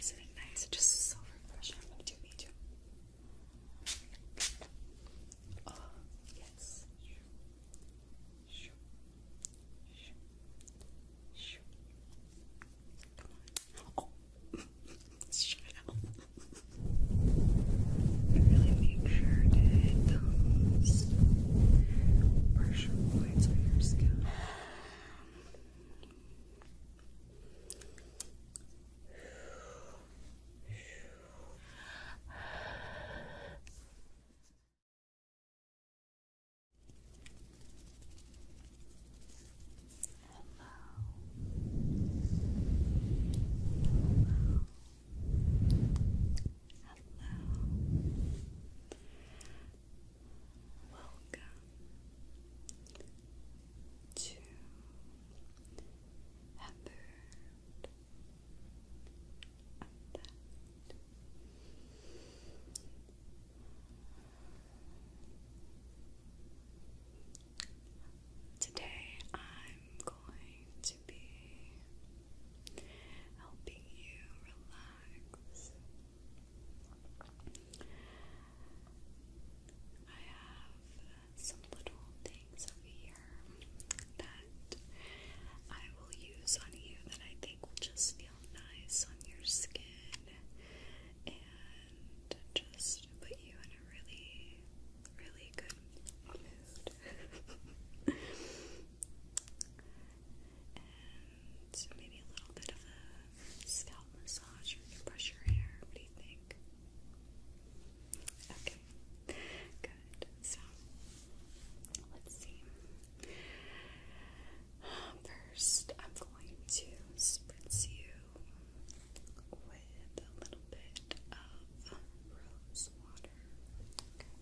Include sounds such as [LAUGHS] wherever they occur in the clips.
Isn't nice? It just so refreshing. I'm gonna do me too. Oh yes. Oh. Shut up. Really make sure to hit those pressure points on your scalp. Hello. Hello. Hello. Welcome to a bird Today I'm going to be helping you relax. I have some little things over here that I will use on you that I think will just feel nice on your skin and and just put you in a really, really good mood. [LAUGHS] and maybe a little bit of a scalp massage or can brush your hair. What do you think? Okay, good. So, let's see. First, I'm going to spritz you with a little bit of rose water. Okay.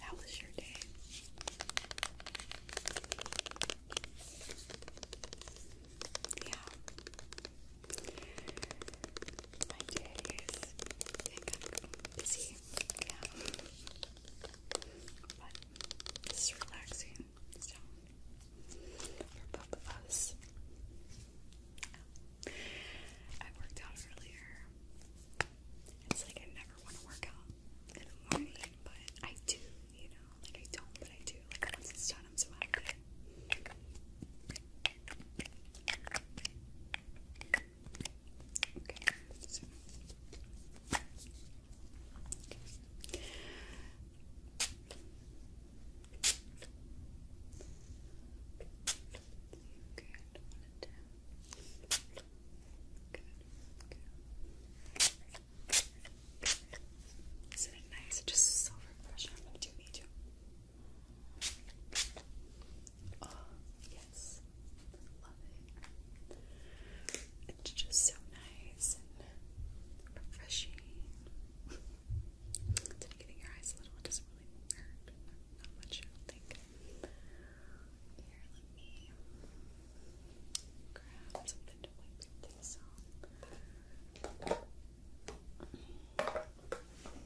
How was your day? Yeah my days it got busy, yeah. But this is relaxing, so for both of us. I worked out earlier. It's like I never want to work out in the morning, but I do, you know. Like I don't, but I do. Like once it's done, I'm so happy. Okay. So. okay. Good. Good. Good. Isn't it nice? It just so refreshing. Do you need to? Oh, yes. Love it. It's just so nice and refreshing. Did you get your eyes a little? It doesn't really hurt. Not much, I don't think. Here, let me grab something to wipe things off.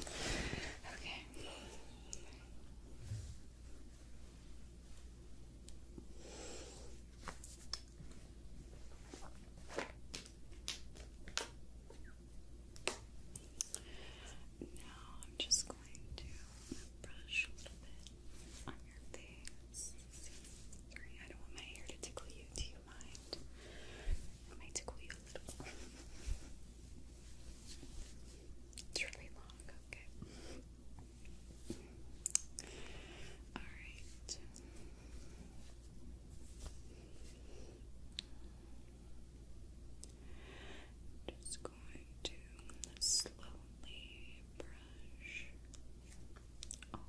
Okay. Now I'm just going to brush a little bit on your face. Sorry, I don't want my hair to tickle you. Do you mind? It might tickle you a little. It's really long, okay. Alright. Just going to slowly brush all around.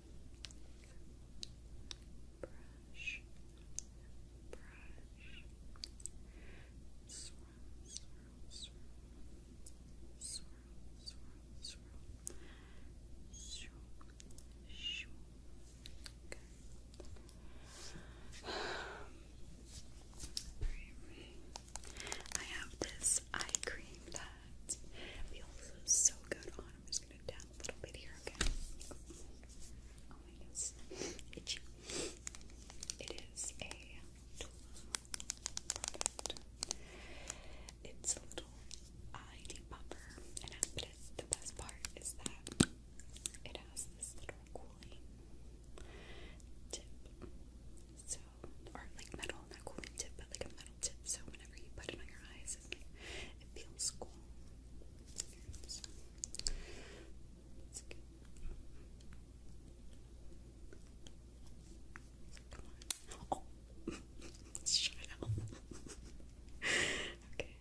brush, swirl, swirl, swirl, swirl, swirl, swirl, shoo, Okay. I have this eye cream that that. Feels so good on. I'm just gonna down a little bit here, okay? Oh my goodness, itchy. It is a product. It's a little eye depuffer, and but it, the best part is that it has this little cooling tip, so or like metal not a cooling tip, but like a metal tip. So whenever you put it on your eyes, it, feels cool. Come on. Oh, [LAUGHS] shut up. okay.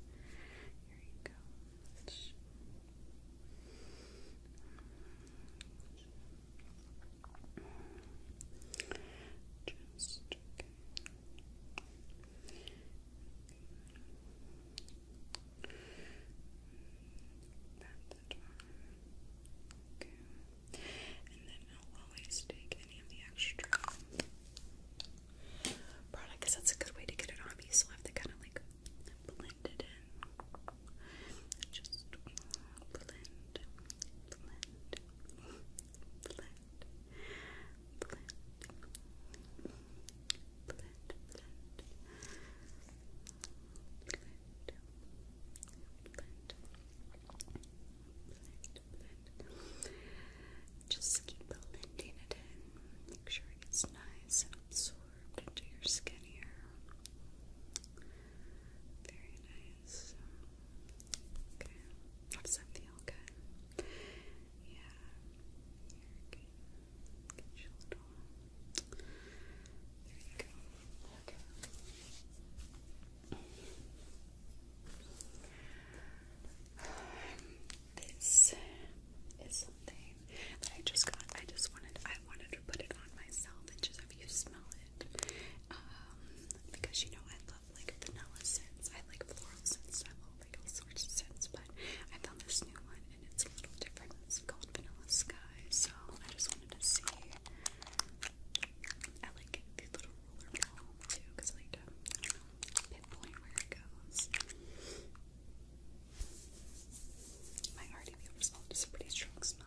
[LAUGHS] Here you go. Just okay. okay. Okay. And then I'll always take any of the extra product because that's a good way to get it on me, so have to kind of like blend it in. Just blend, blend, blend. Blend, blend, blend, blend, blend, blend. Just keep blending it in. Make sure it gets nice and absorbed into your skin here. Very nice. Okay. Does that feel good? Yeah. Here, okay. Get your little. There you go. Okay. Um, this is something that I just got. I just wanted. I wanted to put it on myself and just have you smell it um, because you know I love like vanilla scents, I like floral scents, I love like all sorts of scents, but I found this new one and it's a little different. It's called Vanilla Sky, so I just wanted to see. I like the little roller too, because um, I like pinpoint where it goes. My RDB result is a pretty strong smell.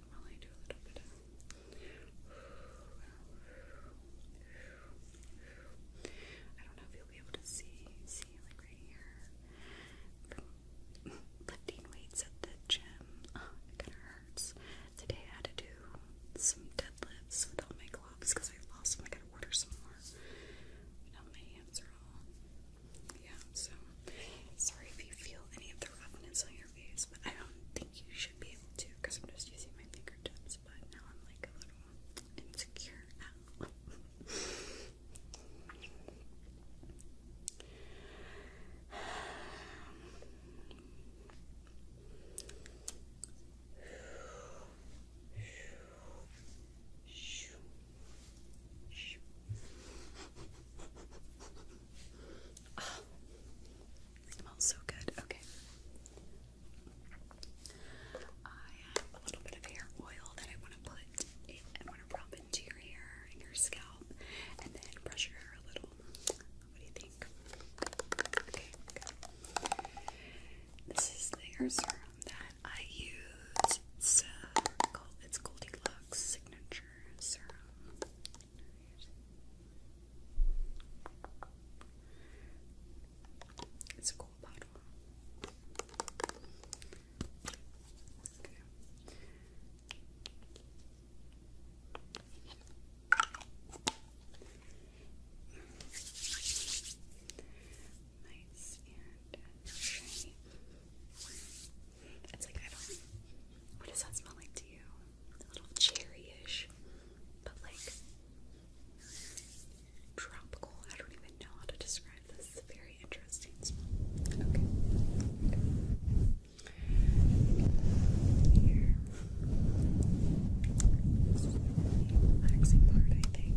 I do not know if you'll be able to see, see like right here. [LAUGHS] lifting weights at the gym, oh, it kind of hurts. Today I had to do some deadlifts with my gloves because I lost them. I gotta order some more. Now my hands are all. Yeah, so sorry if you feel any of the roughness on your your face, but I don't think you should be able to because I'm just using my fingertips. But now I'm like a little insecure now smells so good. Okay. I have a little bit of hair oil that I want to put in, want to rub into your hair and your scalp and then brush your hair a little. What do you think? This is the serum that I use. It's, uh, called, Signature Serum. It's a cool bottle. Okay. Nice and shiny. It's like I don't. What does that smell like to you? a little cherryish, but like tropical. I don't even know how to describe this. It's a very interesting smell. Okay. Here. relaxing part, I think.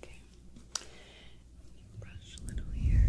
Okay. Brush a little here.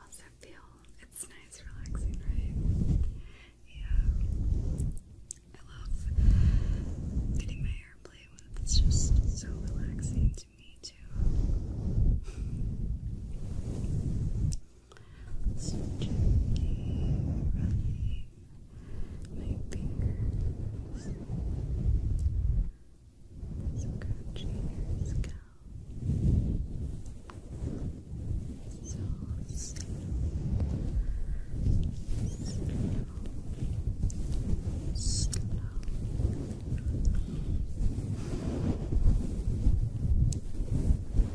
Also feel it's nice, relaxing, right? Yeah. I love getting my hair played with. It's just so relaxing to me too. So gently running my scratching your scalp. So slow, slow. Slow,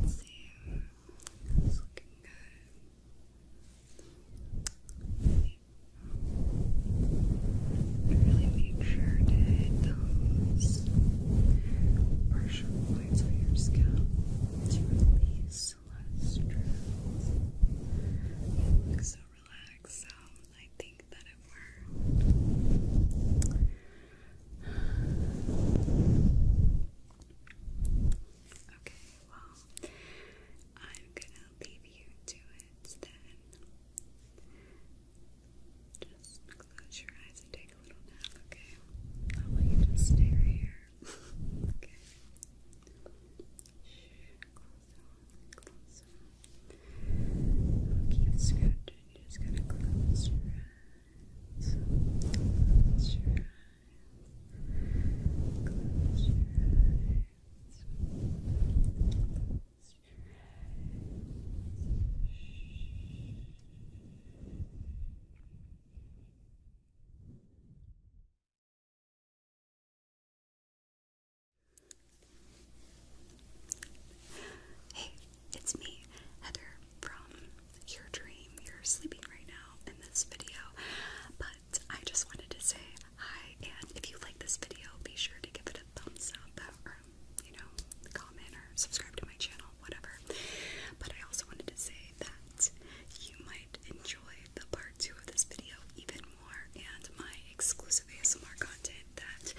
Let's it's looking good. Really make sure to hit those pressure points on your scalp to release celestials. You look so relaxed, so I think that it worked. Okay, well, I'm gonna leave you to it then. Just close your eyes and take a little nap, okay? I'll let you just stay here okay. Shh, close on, close on. Keep scratching. you just gonna close your eyes. Close your eyes. Close your eyes. Close your eyes. Shh. Hey, it's me, Heather from Your Dream. You're sleeping right now in this video, but I just wanted to say hi. And if you like this video, be sure to give it a thumbs up or, you know, comment or subscribe to my channel, whatever. But I also wanted to say that you might enjoy the part two of this video even more and my exclusive ASMR content that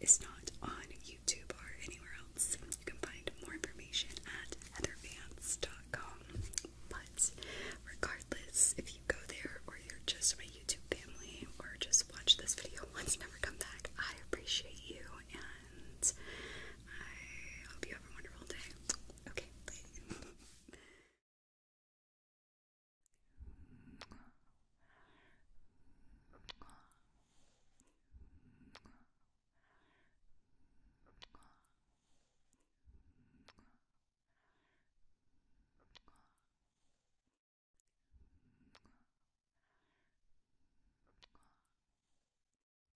is not on YouTube or anywhere else. You can find more information at heathervance.com. But regardless, if you go there or you're just my YouTube family or just watch this video once, never come back, I appreciate you and I hope you have a wonderful day. Okay, bye.